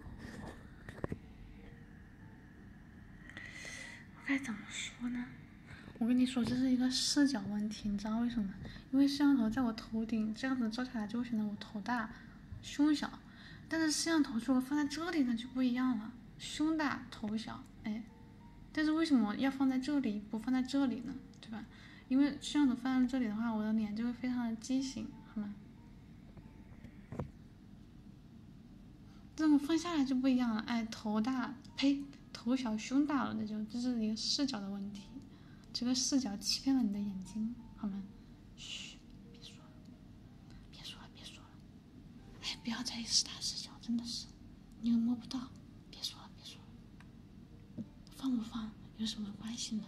我该怎么说呢？我跟你说，这是一个视角问题，你知道为什么？因为摄像头在我头顶，这样子照下来就会显得我头大、胸小；但是摄像头如果放在这里呢，就不一样了，胸大头小。哎，但是为什么要放在这里，不放在这里呢？对吧？因为摄像头放在这里的话，我的脸就会非常的畸形，好吗？这种放下来就不一样了，哎，头大，呸，头小，胸大了，那就这是一个视角的问题，这个视角欺骗了你的眼睛，好吗？嘘，别说了，别说了，别说了，哎，不要在意是大是小，真的是，你又摸不到，别说了，别说了，放不放有什么关系呢？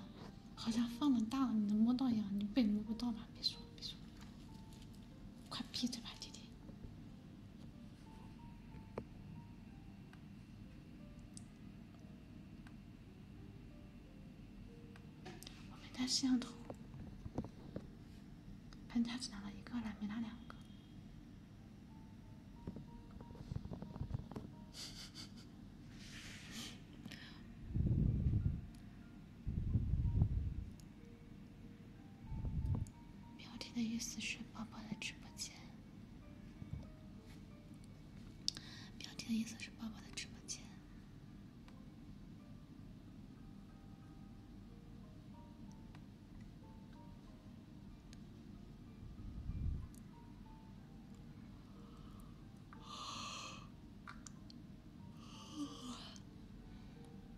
好像放了大了，你能摸到一样，你被摸不到吧？别说，别说，快闭嘴吧，弟弟！我没带摄像头，搬家只拿了一个了，没拿两个。标 题的意思是宝宝的直播间。标题的意思是宝宝的直播间。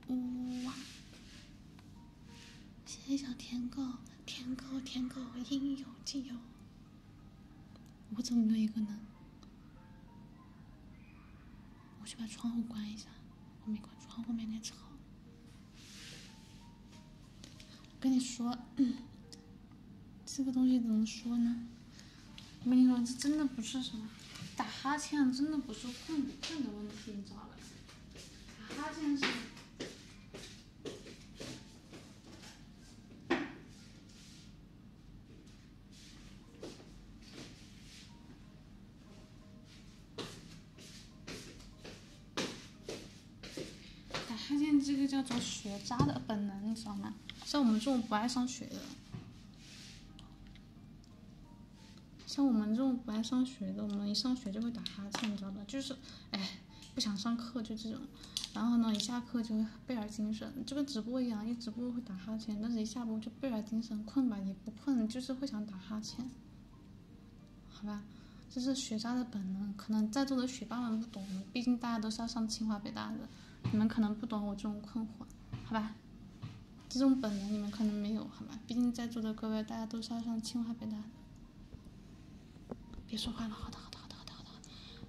哇！谢谢小舔狗，舔狗舔狗应有尽有。我怎么没有一个呢？我去把窗户关一下，我没关窗户，外面吵。我跟你说，这个东西怎么说呢？我跟你说，这真的不是什么打哈欠，真的不是困不困的问题，你知道吧？打哈欠是打哈欠，这个叫做学渣的本能，你知道吗？像我们这种不爱上学的。像我们这种不爱上学的，我们一上学就会打哈欠，你知道吧？就是，哎，不想上课就这种。然后呢，一下课就倍儿精神，就跟直播一样，一直播会打哈欠，但是一下播就倍儿精神，困吧也不困，就是会想打哈欠。好吧，这是学渣的本能，可能在座的学霸们不懂，毕竟大家都是要上清华北大的，你们可能不懂我这种困惑，好吧？这种本能你们可能没有，好吗？毕竟在座的各位，大家都是要上清华北大的。别说话了，好的，好的，好的，好的，好的，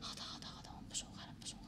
好的，好的，好的，我不说话了，不说话。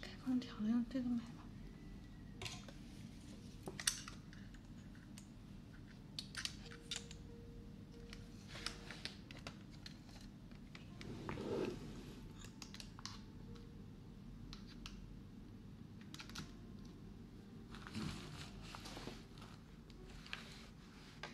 开空调用这个买了。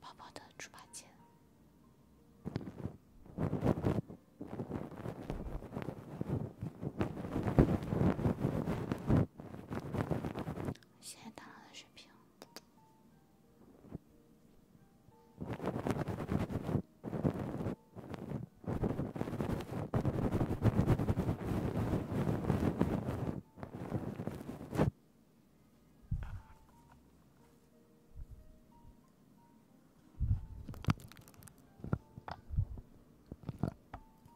宝宝的猪八戒。谢谢大佬的水平。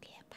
别怕。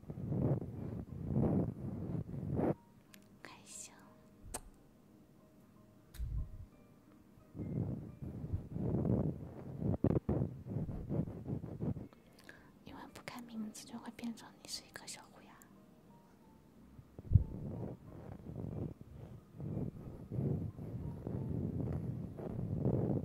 开心，因为不看名字就会变成你是一颗小虎牙。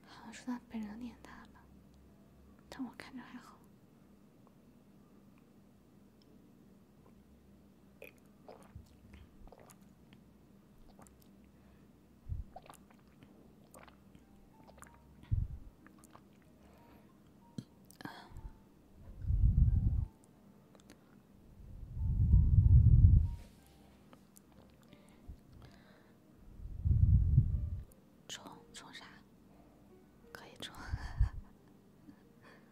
好像说他本人脸大吧，但我看着还好。充充啥？可以充。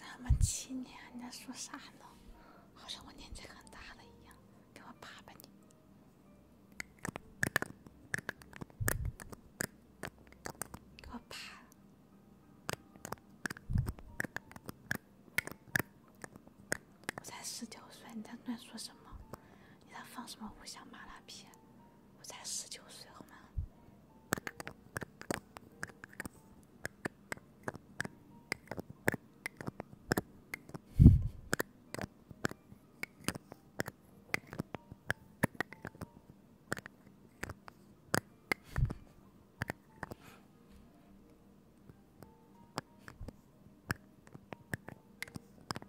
什么？七年，你在说啥呢？好像我年纪很大了一样，给我爬吧你！给我爬！我才十九岁，你在乱说什么？你在放什么五香麻辣片？我才十九岁，好吗？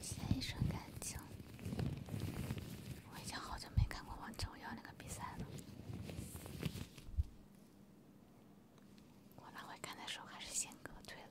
写一份感情。我已经好久没看过王者荣耀那个比赛了。我那会看的时候还是先哥退了。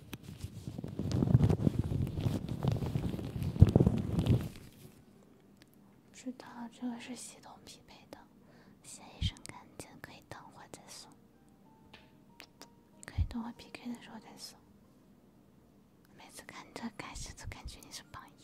知道，这个是系统匹配的。写一身干净，可以等会再送。可以等会 PK 的时候再送。每次看这开始就感觉你是榜一。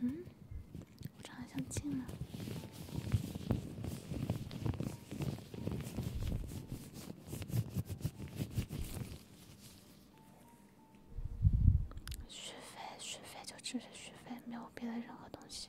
嗯，我好像进了。续费，续费就只是续费，没有别的任何东西。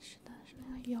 是的，是没有。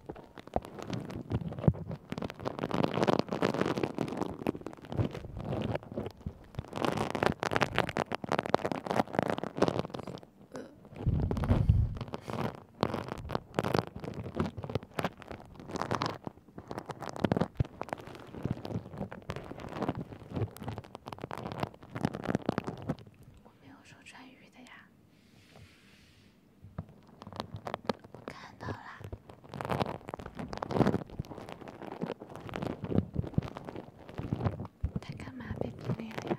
我没有说穿鱼的呀。我看到啦，他干嘛被孤立了呀？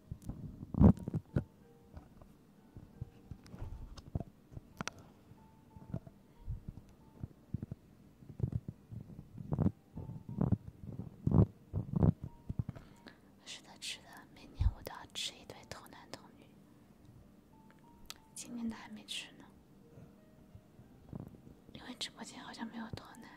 是的，是的，每年我都要吃一堆童男童女，今年的还没吃呢，因为直播间好像没有童男。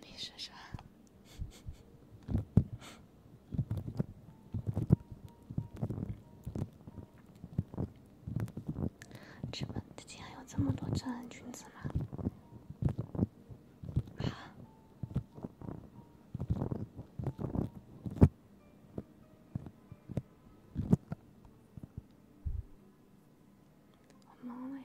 你说说。怎么，这竟然有这么多正人裙子吗？啊！我妈呀！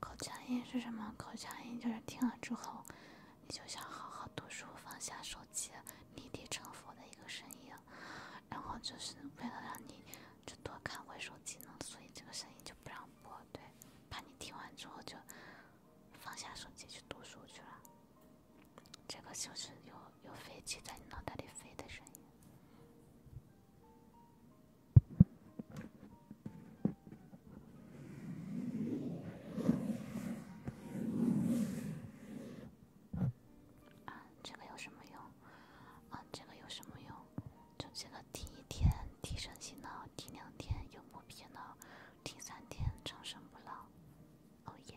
口腔音是什么？口腔音就是听了之后，你就想好好读书，放下手机。立地成佛的一个声音，然后就是为了让你就多看会手机呢，所以这个声音就不让播，对，怕你听完之后就放下手机去读书去了。这个就是有有飞机在你脑袋里飞的声音。啊，这个有什么用？啊，这个有什么用？就这个，第一天提神醒脑，第两天永不疲劳，第三天长生不老。哦耶！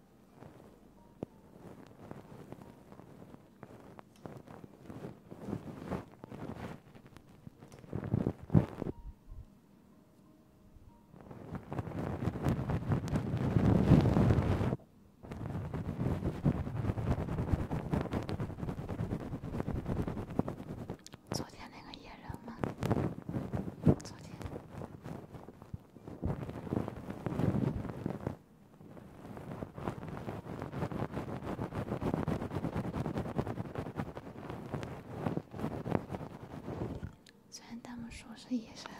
昨天那个野人吗？昨天。虽然他们说是野生。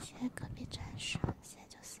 谢谢隔壁战士，谢，谢写。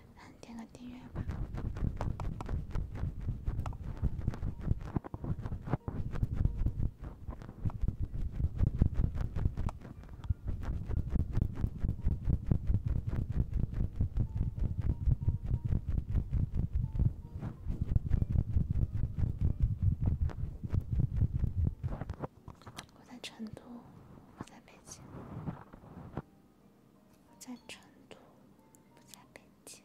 点个订阅吧。我在成都，我在北京。我在成都，不在北京。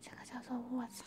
这个叫做卧蚕，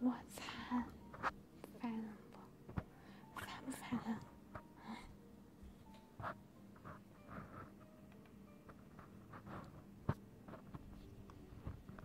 我擦，烦人不？烦不烦人？哎。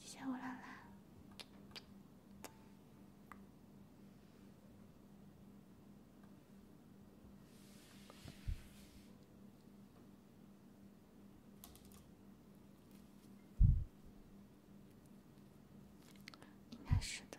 谢谢我兰兰，是的。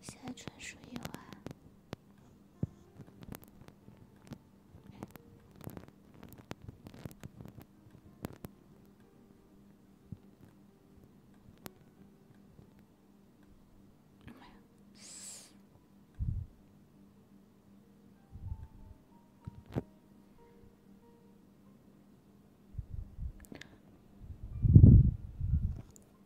现在纯属意外。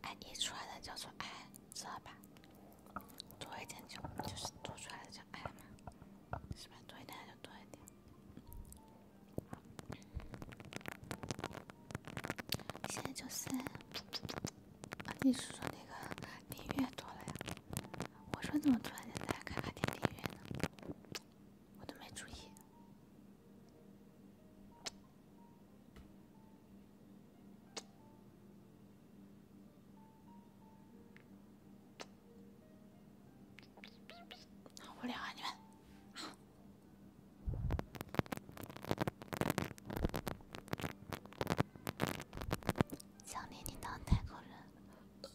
哎，一出来的叫做爱，知道吧？多一点就就是多出来的叫爱嘛，是吧？多一点就多一点。现在就是，啊，你是说那个订阅多了呀？我说怎么突然间大家卡卡听音乐呢？我都没注意。好无聊啊，你们！想念你当代购人。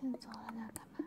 先走了，那干嘛？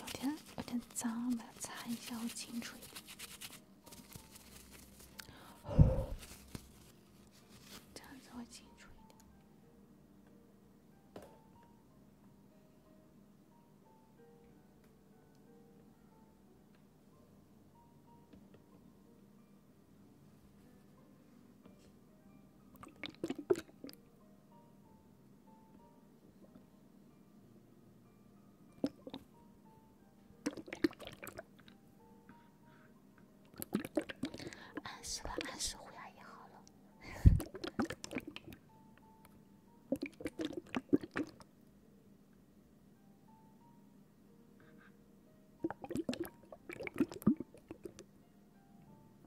有点有点脏，我擦一下，我清楚一点，这样子我清楚一点。按时了，按时回阿姨好了。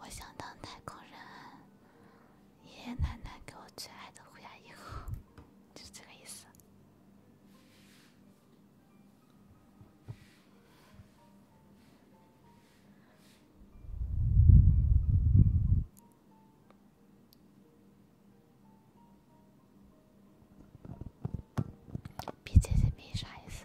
我想当太空人。爷爷奶奶给我最爱的护牙牙膏，就是这个意思。BZB 啥意思？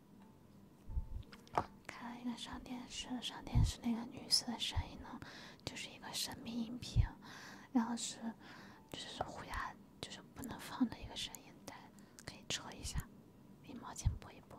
开了一个上电视，上电视那个女士的声音呢，就是一个神秘音频，然后是，就是虎牙就是不能放的一个声音，但可以扯一下，一毛钱播一播。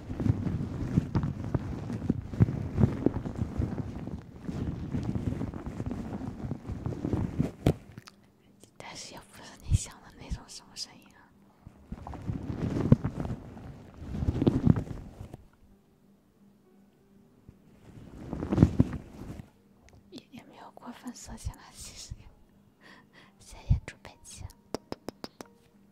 但是也不是你想的那种什么声音啊，也没有过分色情垃其实谢谢猪佩奇，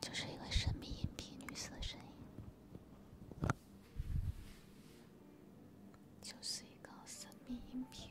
就是一个神秘隐蔽女色声音。就是一个神秘音频。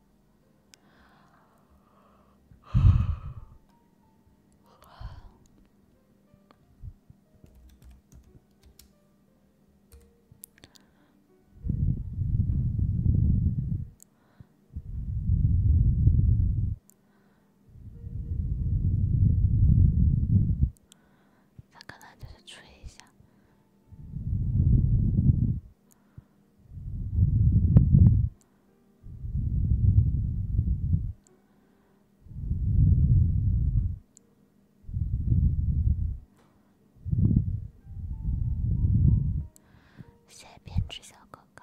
他可能就是吹一下。谢编织小哥哥。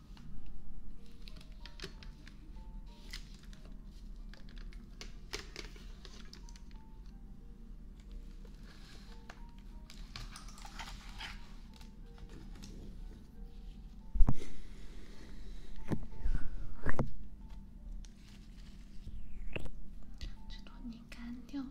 这坨泥干掉了。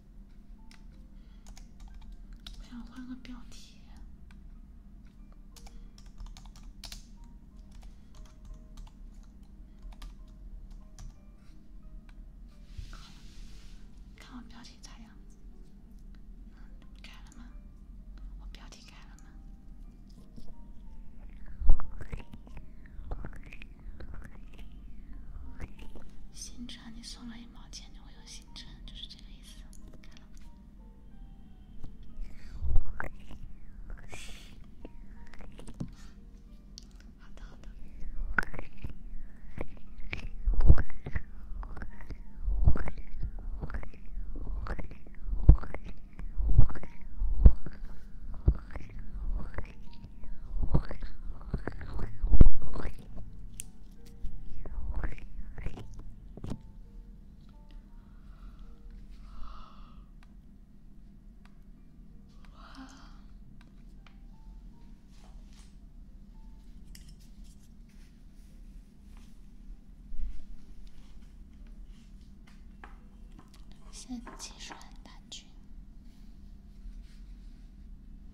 我想换个标题。好了，看我标题咋样？改了吗？我标题改了吗？星钻，你送了一毛钱就会有星钻，就是这个意思。现在技术很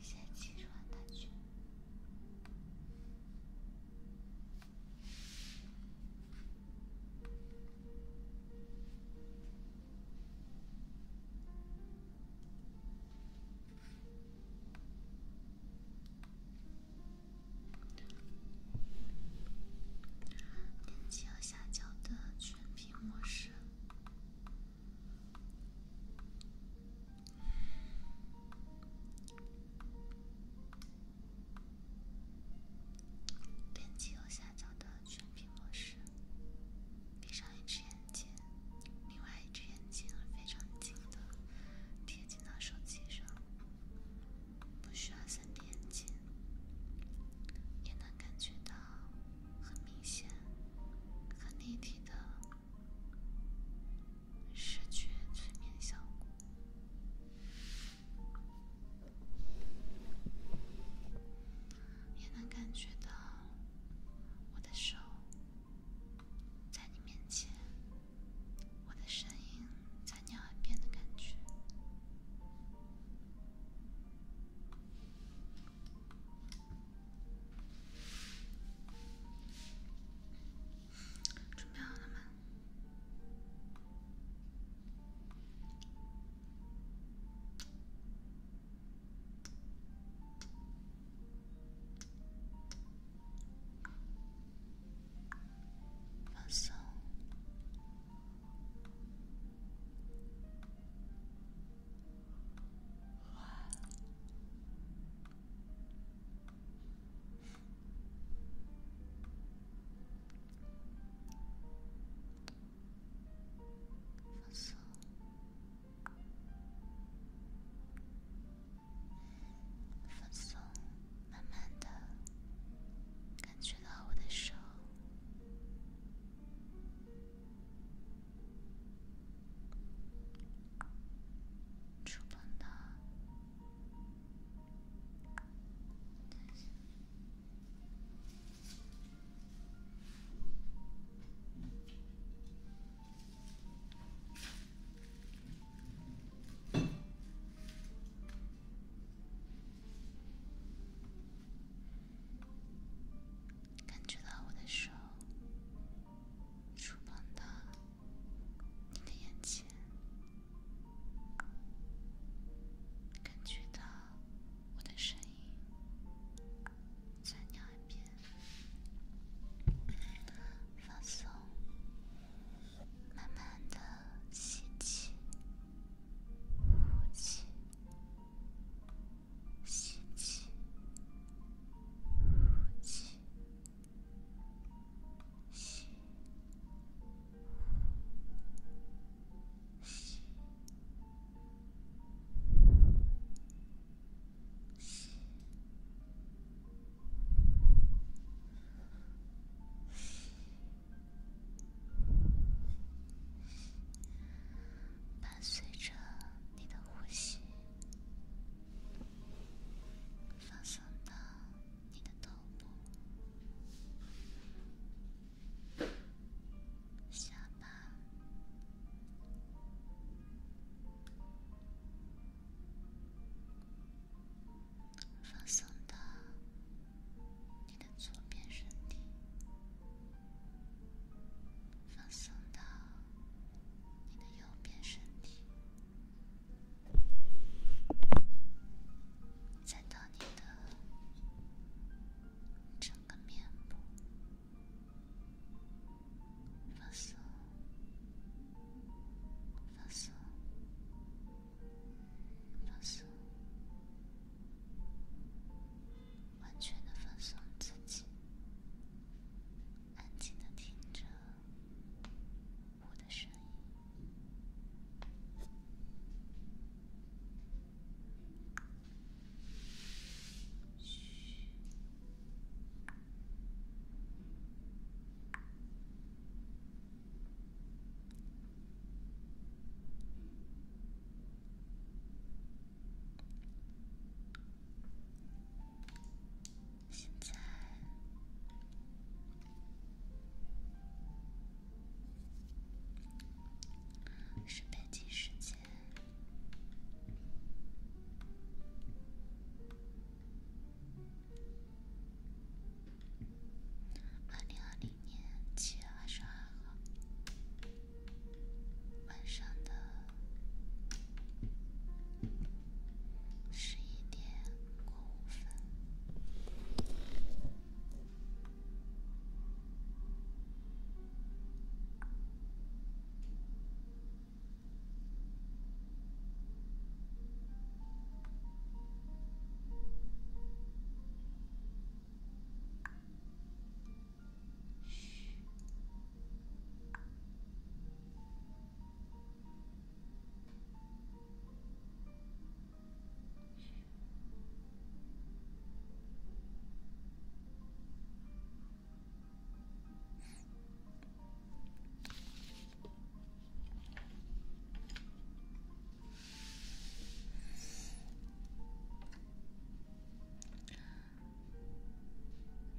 点击左下角的全屏模式。点击右下角的全屏模式，闭上一只眼睛，另外一只眼睛非常近的贴近到手机上，不需要三点睛，也能感觉到很明显、很立体的。失去催眠效果，也能感觉到我的手在你面前，我的声音在你耳边的感觉。准备好了吗？放松。放松，放松，慢慢地感觉到我的手。触碰到，感觉到我的手触碰到。你的眼前，感觉到我的声音，在另一边放松，慢慢的吸气，呼气，吸气，呼气。吸，吸，吸，吸，吸，吸，伴随着你的呼吸。放松到你的头部，下巴；放松到你的左边身体；放松到你的右边身体。再到你的整个面部放松，放松，放松，完全的放松自己，安静的听着。我的声音。嘘。现在是北京时间二零二零年七月二十号晚上的。十一点过五分。嘘。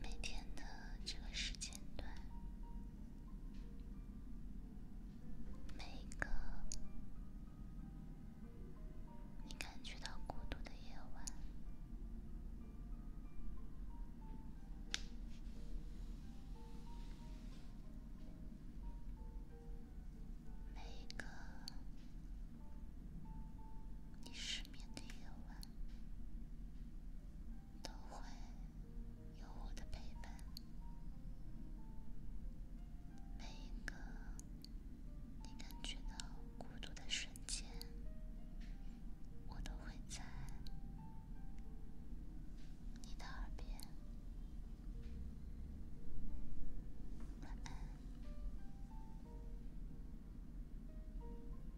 每天的这个时间段。每一个你感觉到孤独的夜晚，每一个你失眠的夜晚。都会有我的陪伴。每一个你感觉到孤独的瞬间，我都会在你的耳边。晚安。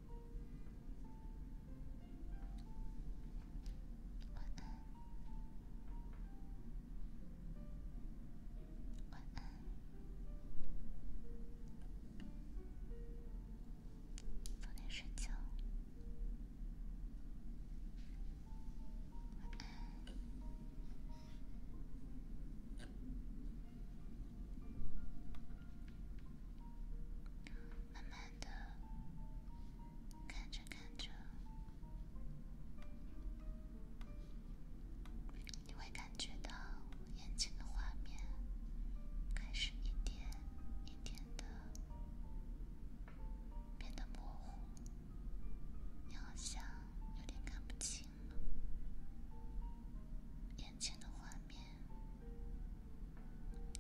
晚安，晚安，早点睡觉。慢慢的，看着看着，你会感觉到眼前的画面开始一点一点的变得模糊，你好像有点看不清了，眼前的画面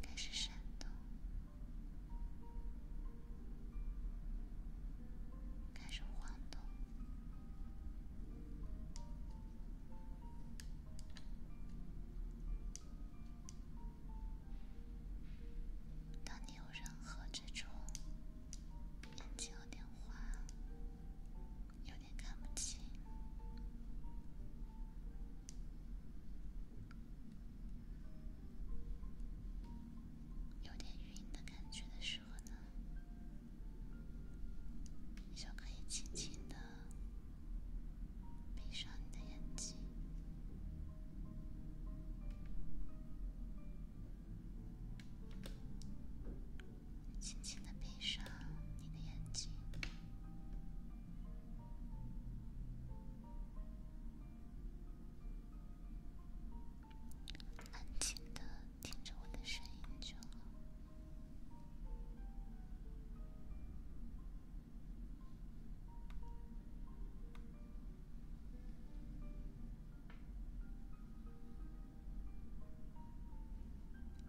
开始闪动。开始晃动。当你有任何这种，眼睛有点花，有点看不清。有点晕的感觉的时候呢，就可以轻轻的闭上你的眼睛，轻轻的闭上你的眼睛。安静的听着我的声音就好。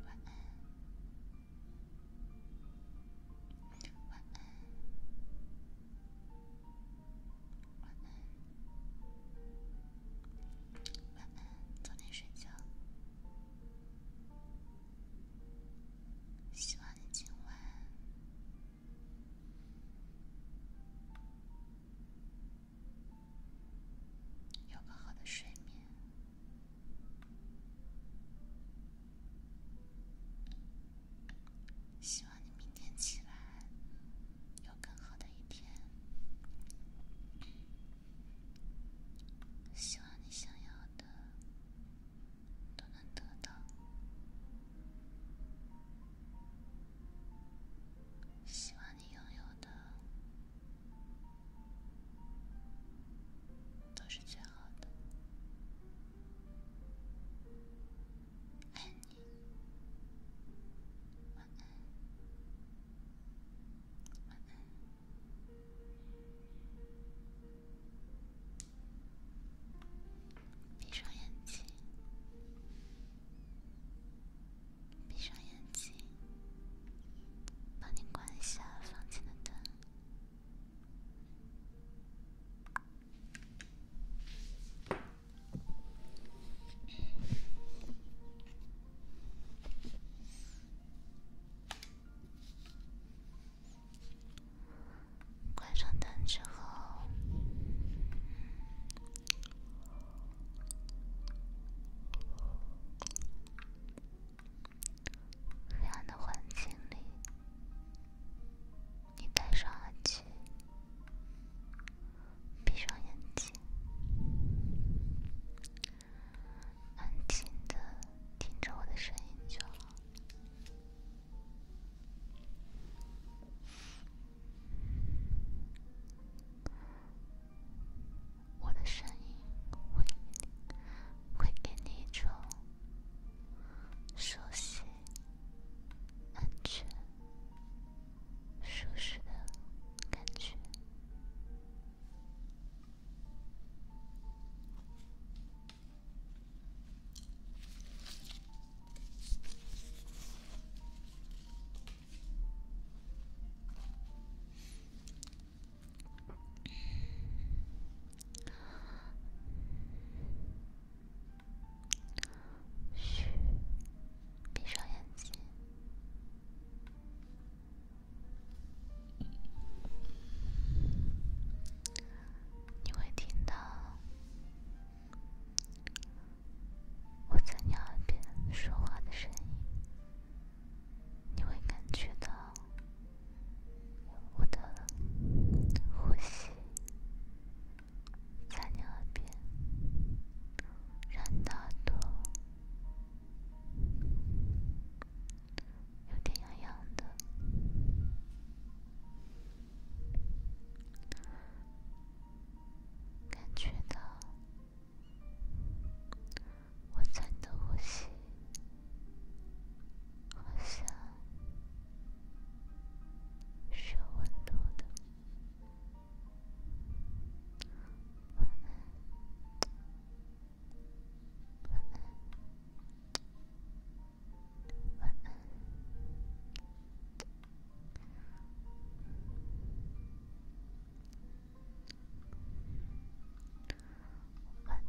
哎。晚安，晚安，晚安，早点睡觉。希望你今晚有个好的睡眠。希望你明天起来，有更好的一天。希望你想要的都能得到。希望你拥有的都是最好的。爱你，晚安，晚安。闭上眼睛，闭上眼睛，帮你关一下房间的灯。关上灯之后，黑暗的环境里。你戴上耳机，闭上眼睛，安静的听着我的声音就好。我的声音会会给你一种熟悉。安全、舒适的感觉。嘘，闭上眼睛，你会听到我在你耳边说话的声音，你会感觉到。我的呼吸在你耳边，让耳朵有点痒痒的，感觉到我真的呼吸好像。需要温度的。晚安。晚安。晚安。晚安。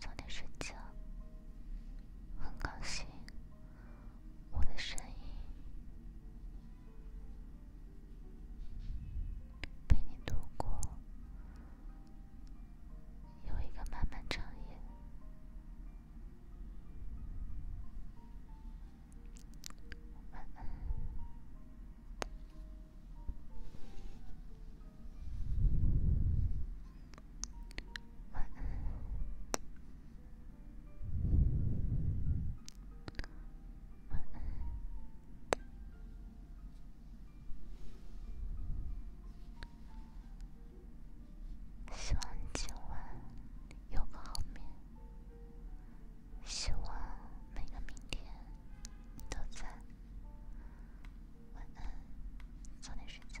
早点睡觉。很高兴我的声音陪你度过有一个漫漫长夜。晚安。希望今晚有个好眠。希望每个明天都在。晚安，早点睡觉。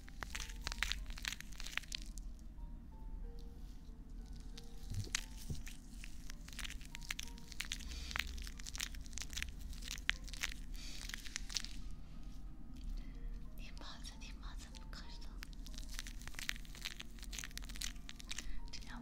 你妈的！你妈的！不卡了，真他妈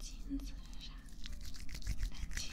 金子是啥？蓝天。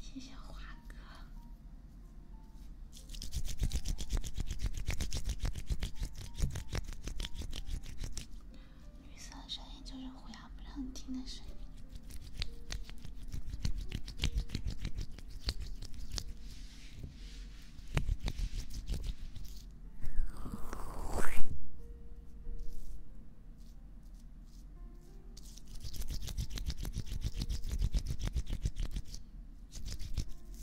谢谢华哥。绿色的声音就是虎牙不让听的声音。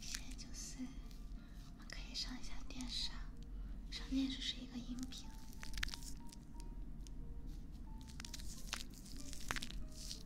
现在就是，我们可以上一下电视啊，上电视是一个荧屏。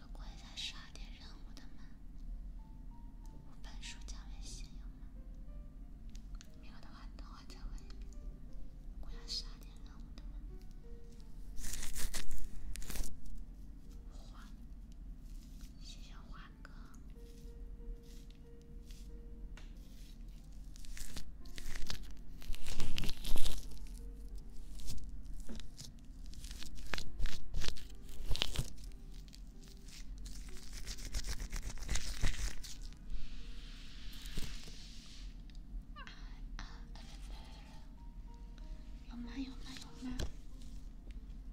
有关下十二点任务的吗？五本书加微信吗？没有的话的话再问。关下十二点任务的吗？换了。谢谢华哥。有吗有吗有吗？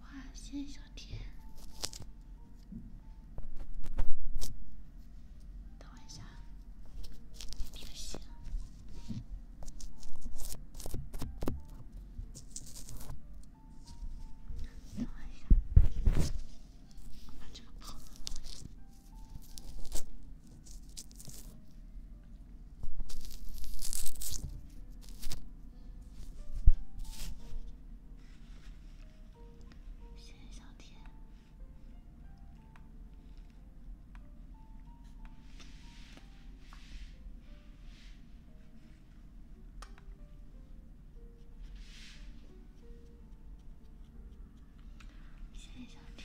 哇，谢谢小天。等一下，不行。等一下，把这个跑。谢小天，谢小天。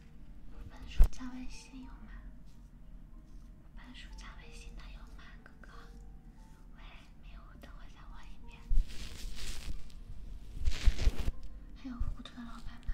五本书加微信有吗？五本书加微信的有吗？哥哥，喂，没有，等我再问一遍。还有五五的老板吗？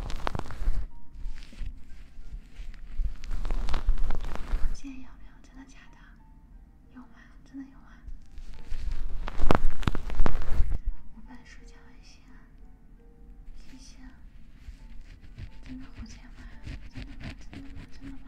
火箭有没有？真的假的？有吗？真的有吗？我买书交了钱啊，谢谢啊！真的火箭吗？真的吗？真的吗？真的吗？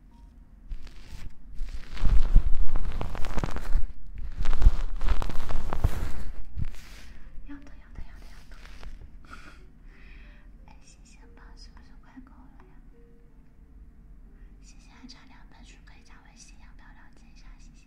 两个，两个，两个，两个。哎，星星吧，是不是快够了呀？星星还差两个，可以加微信，要不要了解一下星星？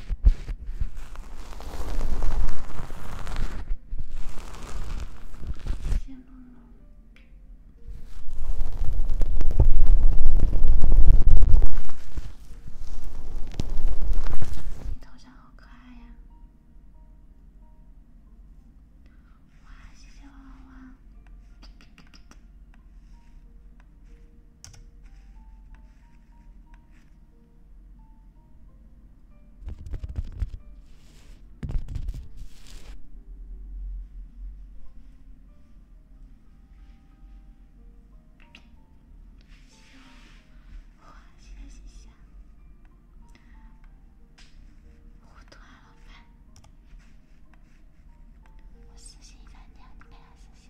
谢谢旺旺，你头像好可爱呀！哇，谢谢旺旺。小花，谢谢谢，糊涂啊老板，我私信一整天，你没来私信。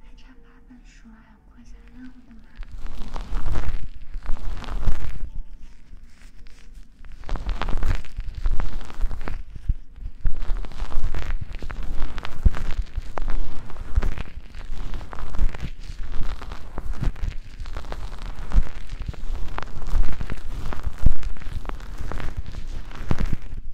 还差八本书，还有课下任务的嘛？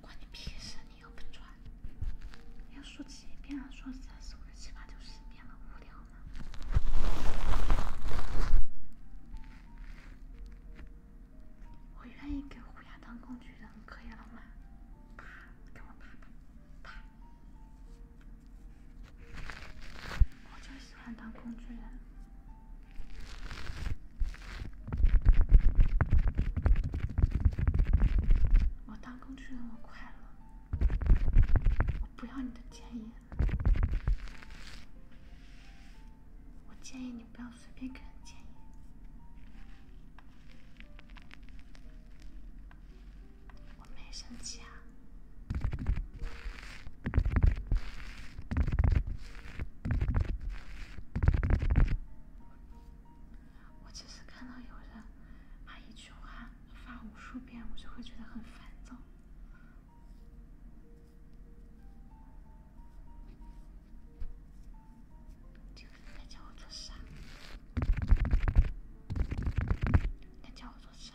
关你屁事！你又不穿，要说几遍了？说三、四、五、六、七、八、十遍了，无聊吗？我愿意给胡家当工具人，可以了吗？啪！给我啪啪啪！我就喜欢当工具人。我当工具人，我快乐。我不要你的建议。我建议你不要随便给人建议。我没生气啊。我只是看到有人把一句话发无数遍，我就会觉得很烦躁。你叫我做啥？你叫我做啥？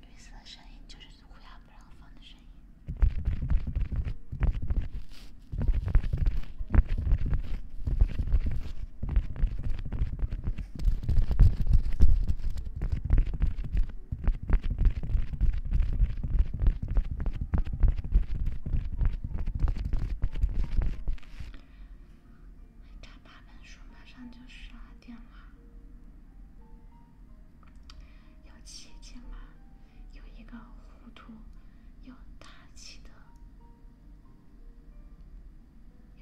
绿色的声音就是乌鸦不让放的声音。差八本书，马上就十二点了。要七千吗？有一个糊涂，要大起的。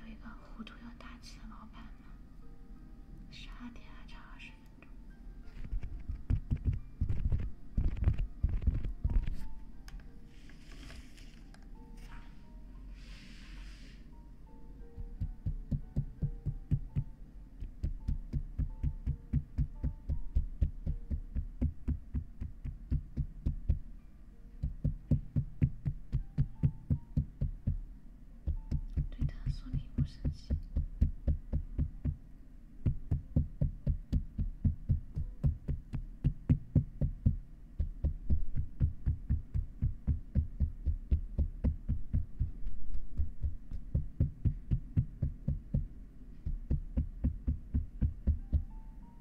有一个糊涂又大气的老板吗？十二点还差二十分钟。对他说：“你不生气。”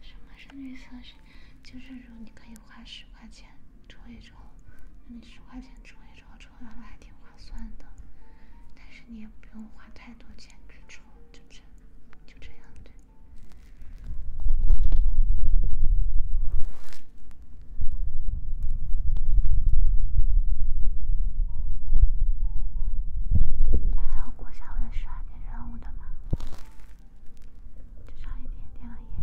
什么是内测试？就是说你可以花十块钱抽一抽，你十块钱抽一抽，抽到了还挺划算的，但是你也不用花太多钱去抽，就这，就这样对。还要过下个月十二点任务的吗？就差一点点了呀。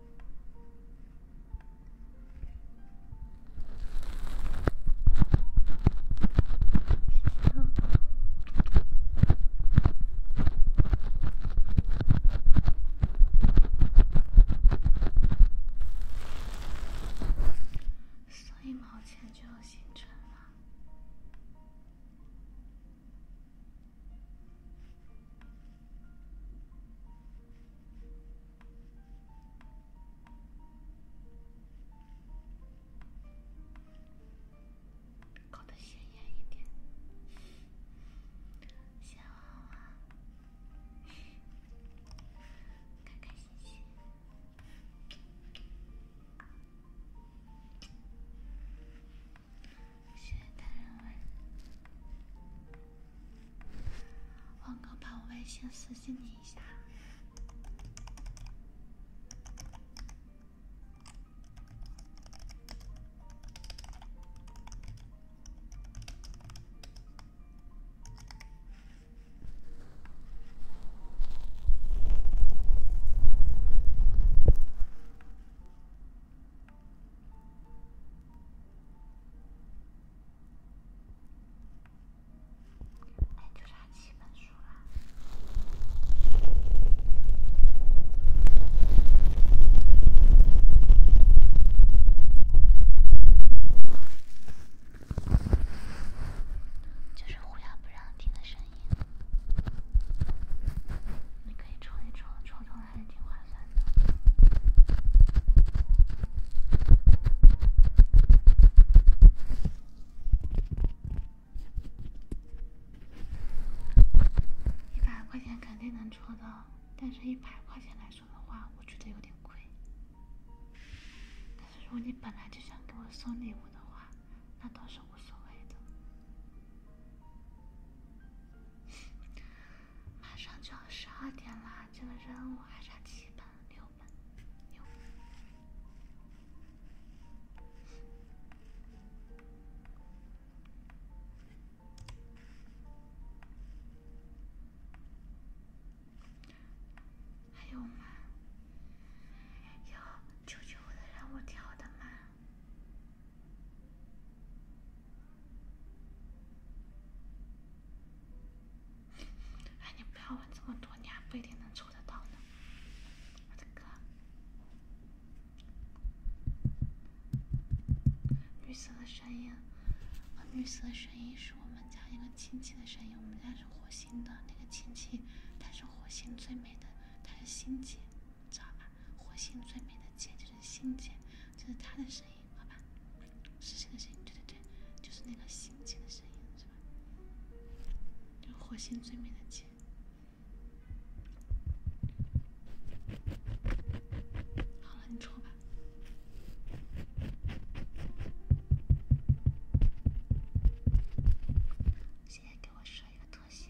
所以，毛钱就有星辰了。搞得鲜艳一点，小娃娃，开开心心，谢谢大人问。王哥，把我微信私信你一下。哎，就差七本书了。就是乌鸦不让听的声音，你可以抽一抽，抽抽还是挺划算的。一百块钱肯定能抽到，但是一百块钱来说的话，我觉得有点亏。但是如果你本来就想给我送礼物的话，那倒是无所谓的。马上就要十二点啦，这个任务还差七本、六本、六本，还有吗？有求救的人，我挑的吗？哎，你不要问这么多，你还不一定能抽得到呢。我的哥，绿色的声音，绿色的声音是我们家一个亲戚的声音。我们家是火星的，那个亲戚他是火星最美的，他是星姐，知道吧？火星最美的姐就是星姐，就是他的声音。好吧，星星的声音，对对对，就是那个星星的声音，是吧？就火星最美的星。好了，你抽吧。现在给我说一个特写。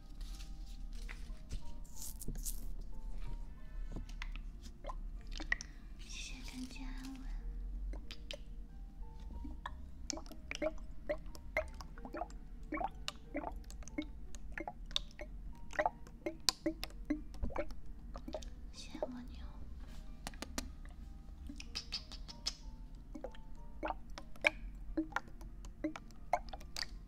谢谢更加安稳，谢蜗牛。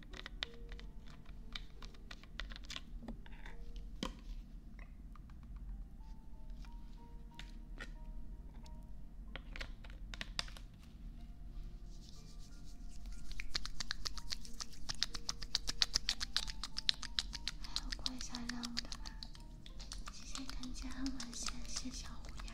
还要过一下任务的吗？谢谢肯杰恩文，谢谢小虎牙。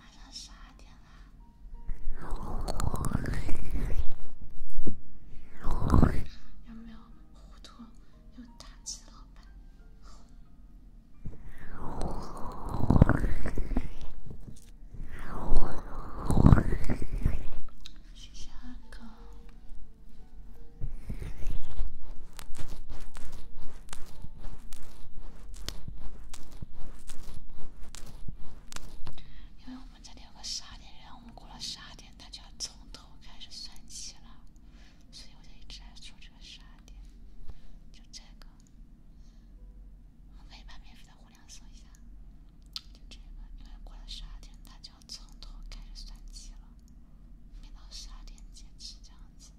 马上十二点了。有没有糊涂？有大吉老板。谢谢阿狗。因为我们今天有个十二点，然后过了十二点，它就要从头开始算起了，所以我就一直在说这个十二点，就这个。我们可以把免费的流量送一下，就这个，因为过了十二点，它就要从头开始算起了，免到十二点截止这样子。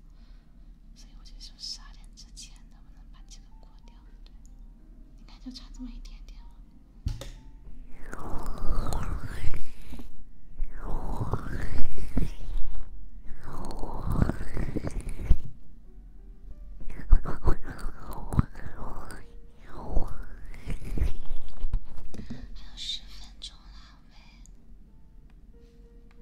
所以我就说十二点之前能不能把这个过掉？对，你看，就差这么一点点了。还有十分钟了，没。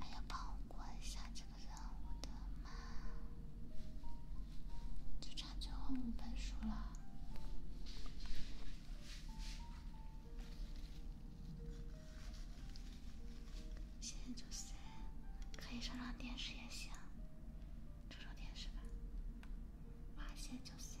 还要帮我过一下这个任务的吗？就差最后五本书了。现就塞，可以上上电视也行，上上电视吧。哇，现就塞。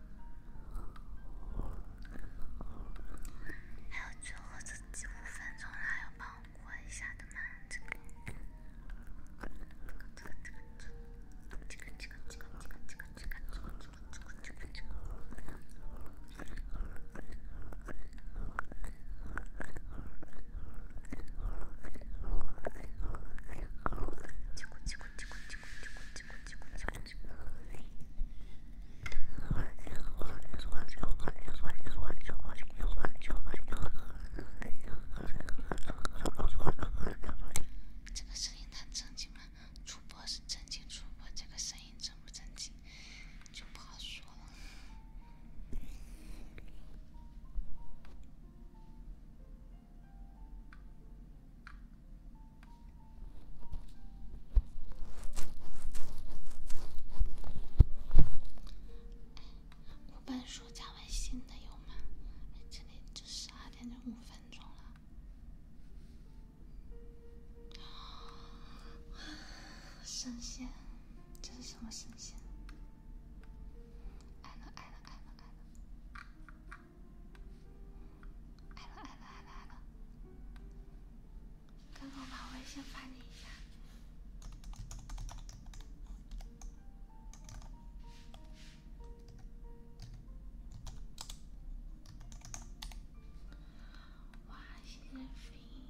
还有最后的几分钟了，还要帮我关一下的吗？这个，这个声音太正经了，主播是正经主播，这个声音正不正经就不好说了。我办暑假微信的有吗？这里就十二点零五分钟了。神 仙，这是什么神仙？按了按了按了按了。爱了爱了爱了爱了！刚刚把微信发你一下。哇，谢谢飞音。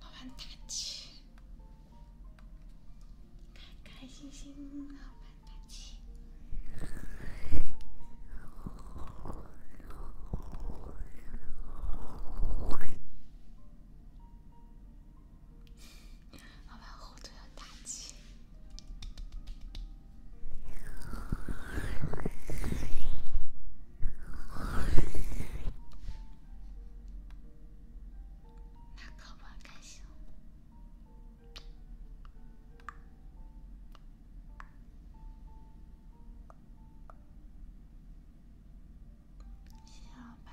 老板大气，开开心心。老板打气，老板后头要打气。小吧。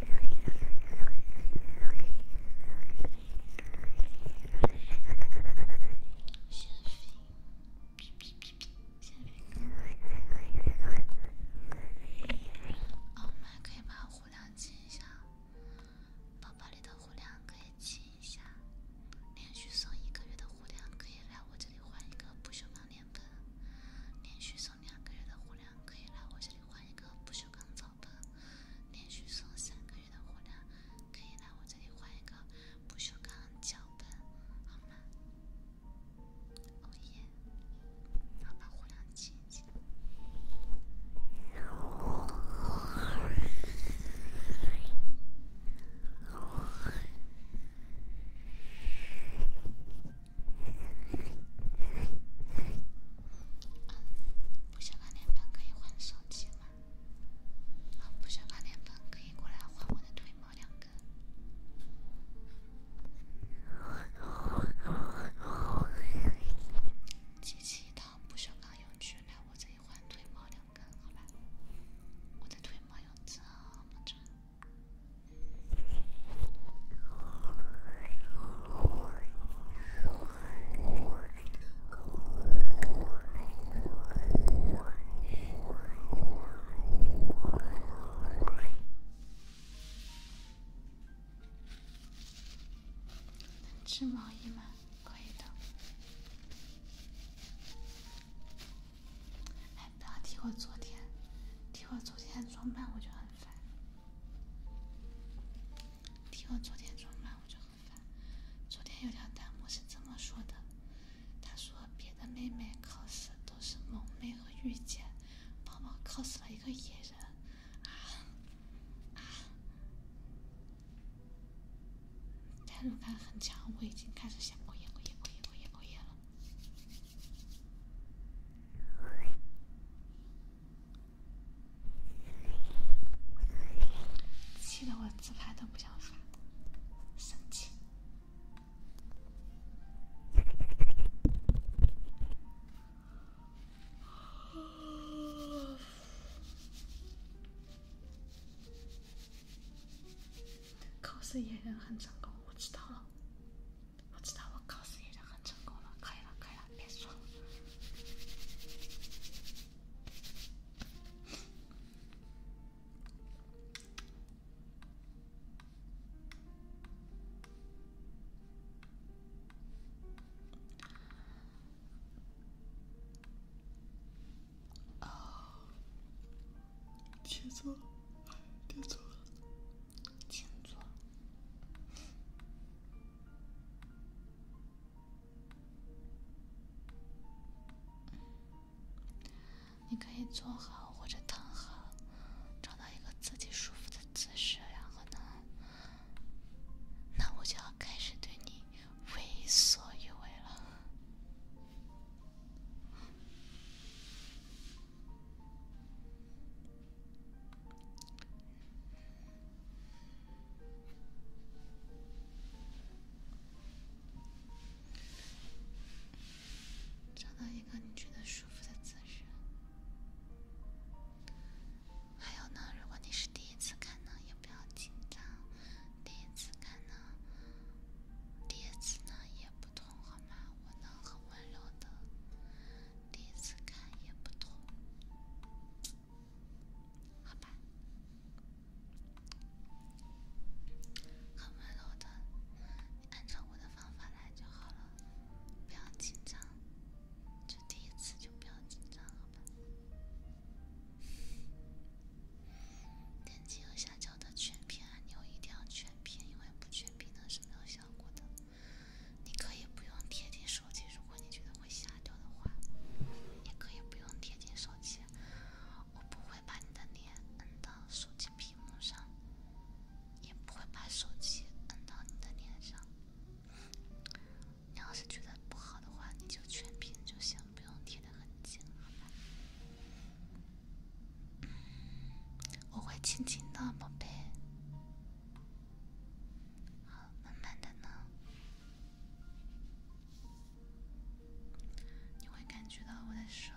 哦，麦可以把互量积一下。宝宝里的互量可以积一下。连续送一个月的互量，可以来我这里换一个不锈钢脸盆。连续送。两个月的流量可以来我这里换一个不锈钢皂盆，连续送三个月的流量可以来我这里换一个不锈钢皂盆，好吗？熬夜，要把流量清清。不锈钢电饭可以换手机吗？好，不锈钢电饭可以过来换我的腿毛两根。集齐一套不锈钢用具来我这里换腿毛两根，好吧？我的腿毛有这么长。织毛衣吗？可以的。然后提我昨天，提我昨天装扮我就很烦，提我昨天装扮我就很烦。昨天有条弹幕是这么说的，他说别的妹妹 cos 都是萌妹和御姐，宝宝 cos 了一个野人，啊啊！弹幕感很强，我已经开始想过夜、过夜、过夜、过夜、过夜了。气得我自拍都不想发，生气。很成功，我知道了。我知道我考试已经很成功了，可以了，可别说了。请坐。你可以坐好或者躺好，找到一个自己舒服的姿势，然后呢，那我就要开始对你为所欲为了。找到一个你觉得舒服的姿势。还有呢，如果你是第一次看呢，也不要紧张。第一次看呢，第一次呢也不痛好吗？我能很温柔的。第一次看也不同，好吧？很温柔的，按照我的方法来就好了，不要紧张，就第一次就不要紧张，好吧？点击右下角的全屏按钮，一定要全屏，因为不全屏呢是没有效果的。你可以不用贴近手机，如果你觉得会吓掉的话，你可以不用贴近手机。我不会把你的脸摁到手机屏幕上，也不会把手机摁到你的脸上。你要是觉得不好的话，你就全屏就行，不用贴的很紧，好吧？我会亲亲的，宝贝。好，慢慢的呢，你会感觉到我的手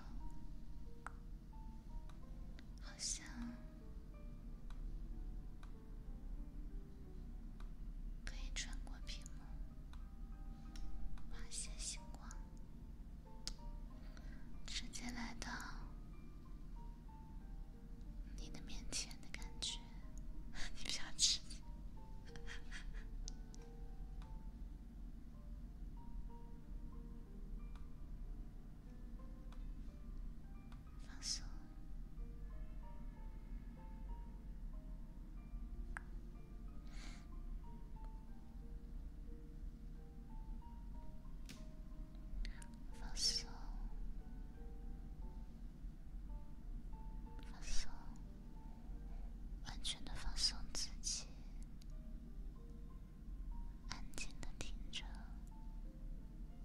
好像可以穿过屏幕，发现星光，直接来到。你的腼腆的感觉，你比较直，放松。放松，放松，完全的放松自己，安静的听着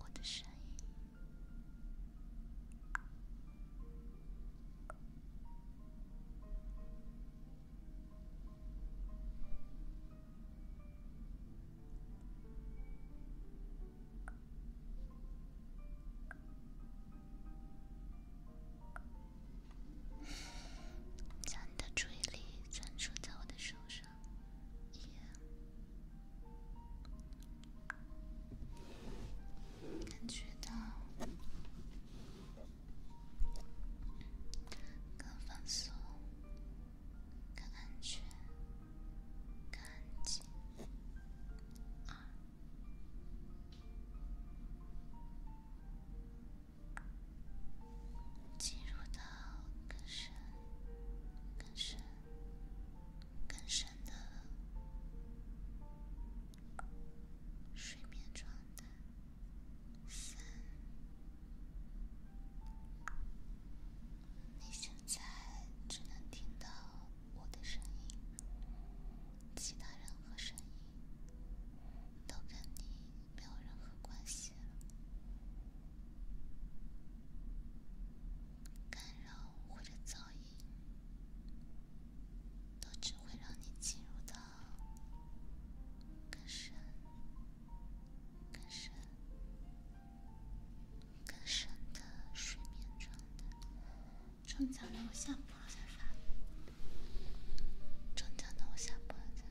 我的声音。将你的注意力专注在我的手上，感觉到更放松。感觉，感觉，二，进入到更深、更深、更深的睡眠状态，三。你现在只能听到我的声音，其他任何声音都跟你没有任何关系了。干扰或者噪音都只会让你进入到更深、更深。更深的睡眠状态。中奖的我下播，好像发中奖的我下播了，才发。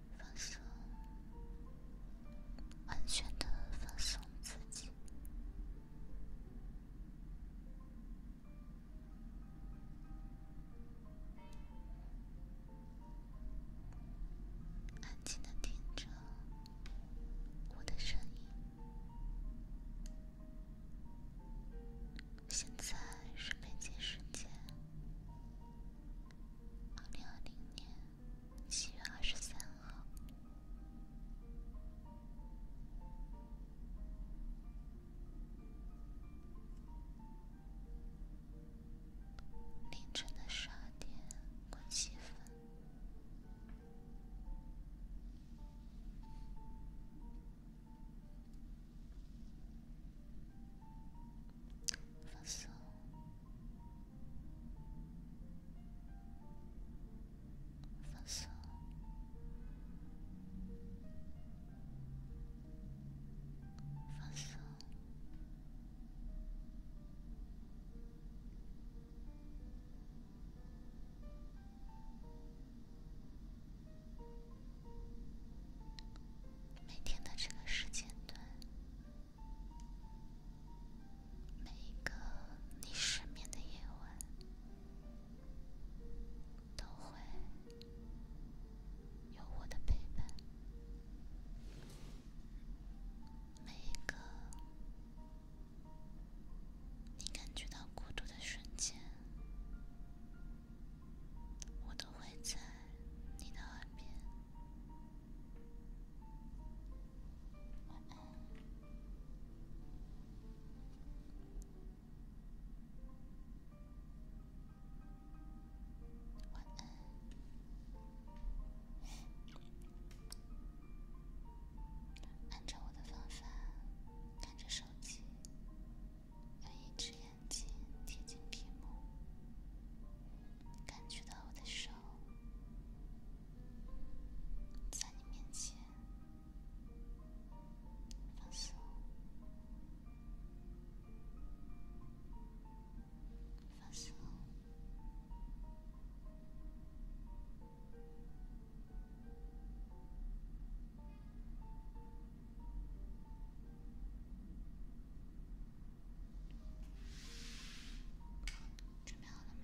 放松，完全的放松自己，安静的听着我的声音。现在是北京时间二零二零年。七月二十三号凌晨的十二点过七分，放松。放松，放松。每天的这个时间段。每一个你失眠的夜晚，都会有我的陪伴；每一个你感觉到孤独的瞬间，我都会在你的耳边。晚安。晚安。按照我的方法，看着手机，用一只眼睛贴近屏幕，感觉到我的手。在你面前，放松，放松。准备好了吗？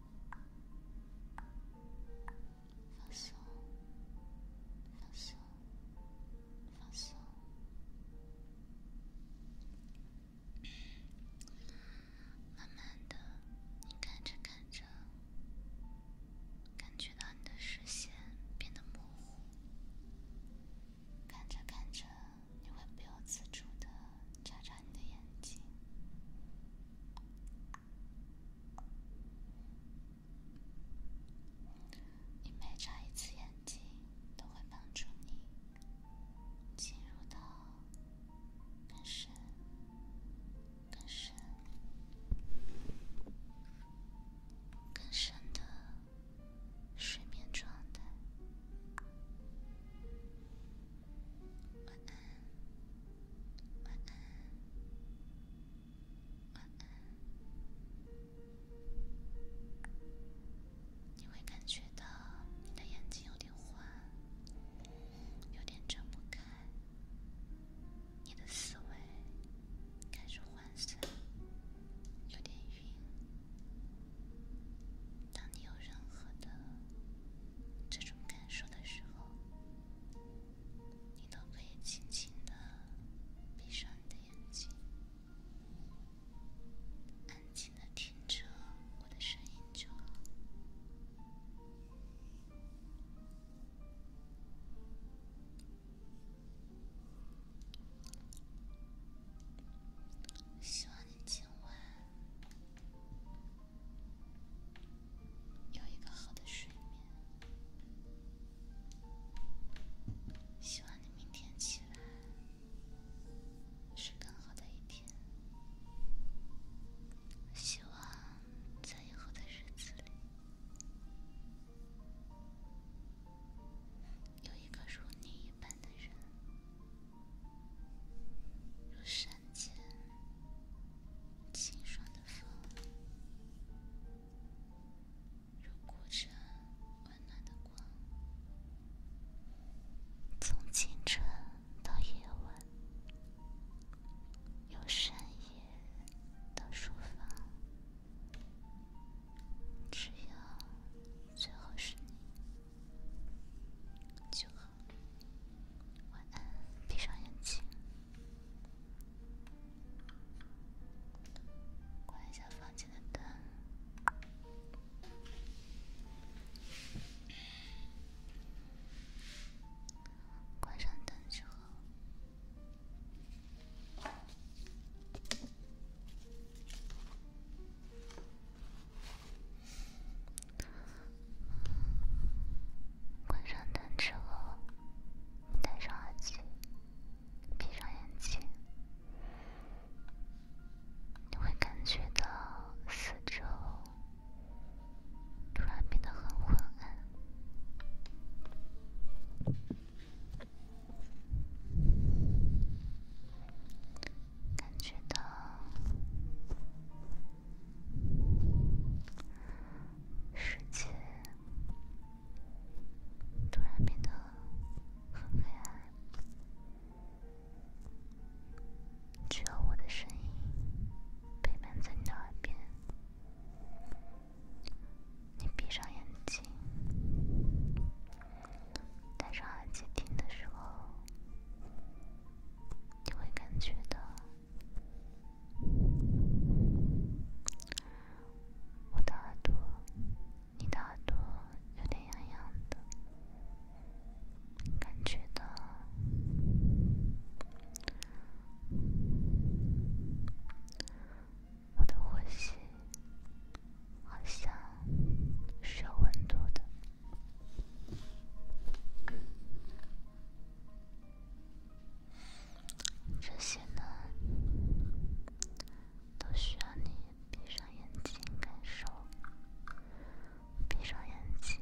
放松，放松，放松。慢慢的，你看着看着，感觉到你的视线变得模糊。看着看着，你会不由自主的眨眨你的眼睛。你每眨一次眼睛，都会帮助你进入到更深、更深、更深的睡眠状态。晚安，晚安，晚安。你会感觉到你的眼睛有点昏，有点睁不开，你的思维开始涣散，有点晕。当你有任何的……这种感受的时候，你都可以轻轻的闭上你的眼睛，安静的听着我的声音就好。希望你今晚。有一个好的睡眠，希望你明天起来是更好的一天。希望在以后的日子里，有一个如你一般的人，如山。门前清爽的风，如古城温暖的光，从清晨到夜晚，由深夜到书房，只要最后是你，就晚安，闭上眼睛，关一下房间的灯，关上灯之后。关上灯之后，戴上耳机，闭上眼睛，你会感觉到四周突然变得很昏暗，感觉到。世界突然变得很黑暗，只有我的声音陪伴在你的耳边。你闭上眼睛，戴上耳机听的时候，你会感觉到。我的耳朵，你的耳朵有点痒痒的感觉到，我的呼吸好像是有温度的。这些呢，都需要你闭上眼睛感受。闭上眼睛，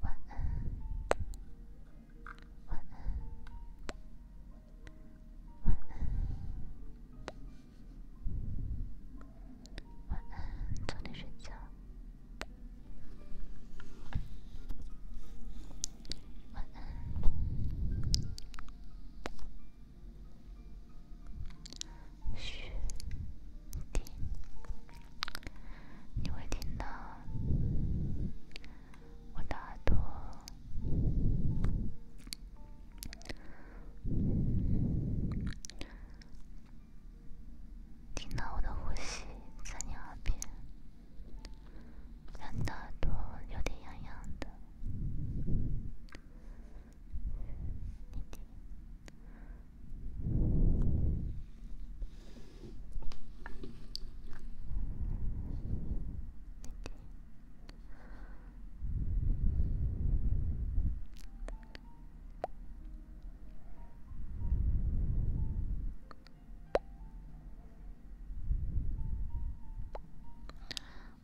晚安，晚安，晚安。晚安，早点睡觉。晚安，许定，你会听到我的耳朵。听到我的呼吸在你耳边，让你耳朵有点痒痒的。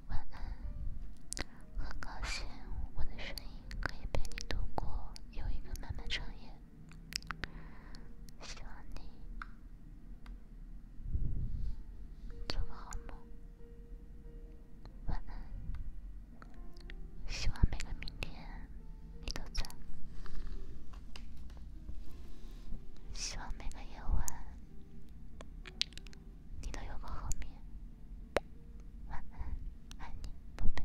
晚安，很高兴我的声音可以陪你度过又一个漫漫长夜，希望你做个好梦，晚安。希望每个明天你都在，希望每个夜晚你都有个好眠，晚安，爱你，宝贝。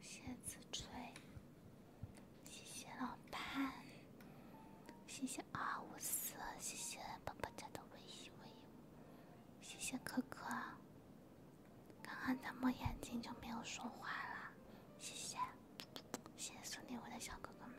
谢子吹，谢谢老潘，谢谢二五四，谢谢爸爸家的微信，谢谢可可。刚刚在摸眼睛就没有说话了，谢谢。谢谢送给我的小哥哥们。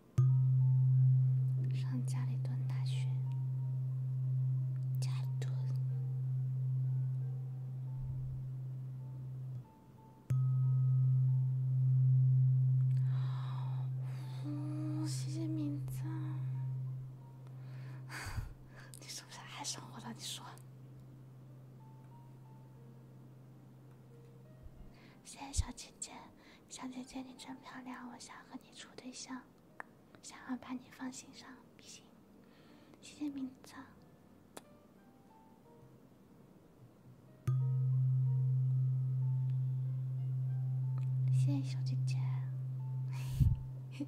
上家里蹲大学，家里蹲。哦，谢谢名字，你是不是爱上我了？你说，谢谢小姐姐。小姐姐，你真漂亮，我想和你处对象，想要把你放心上，行？谢谢名字，谢谢小姐姐。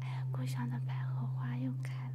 哎，故乡的百合花又开了。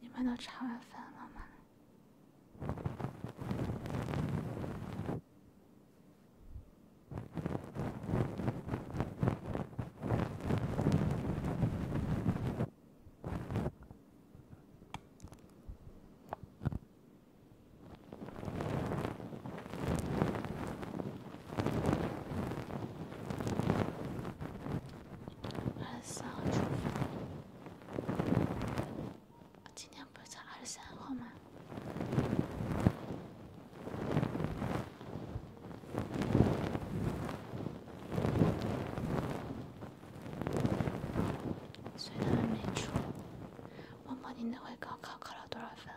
你们都查完分了吗？二十号出发，今天不是才二十号吗？所以他们没出。我默，你那回高考考了多少分？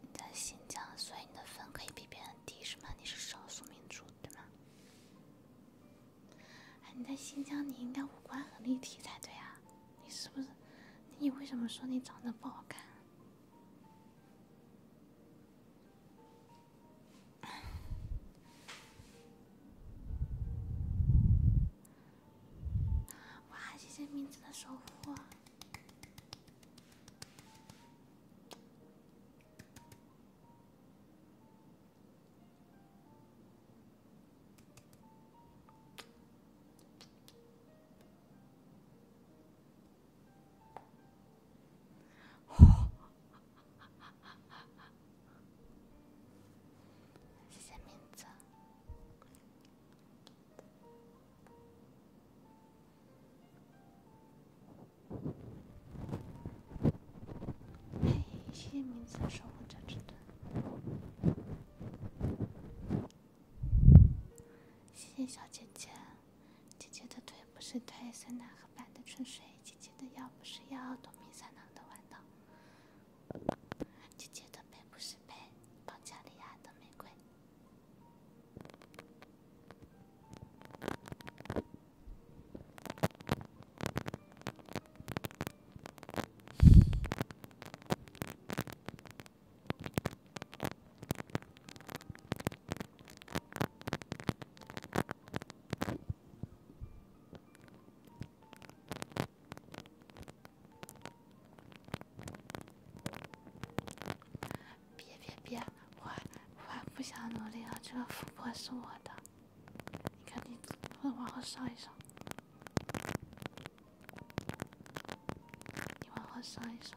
你在新疆，所以你的分可以比别人低是吗？你是少数民族对吗？哎，你在新疆，你应该五官很立体才对啊。你是不是？你为什么说你长得不好看？哇！谢谢名字的守护。哇！谢谢名字。哎，谢谢名字守护者之盾，谢谢小姐姐，姐姐的腿不是腿，酸奶和白的春水，姐姐的腰不是腰，东明酸奶的玩头。姐姐的背不是背，保加利亚的玫瑰。别别别！我我不想努力了，这个富婆是我的。你看，你往后上一上，你往后上一上。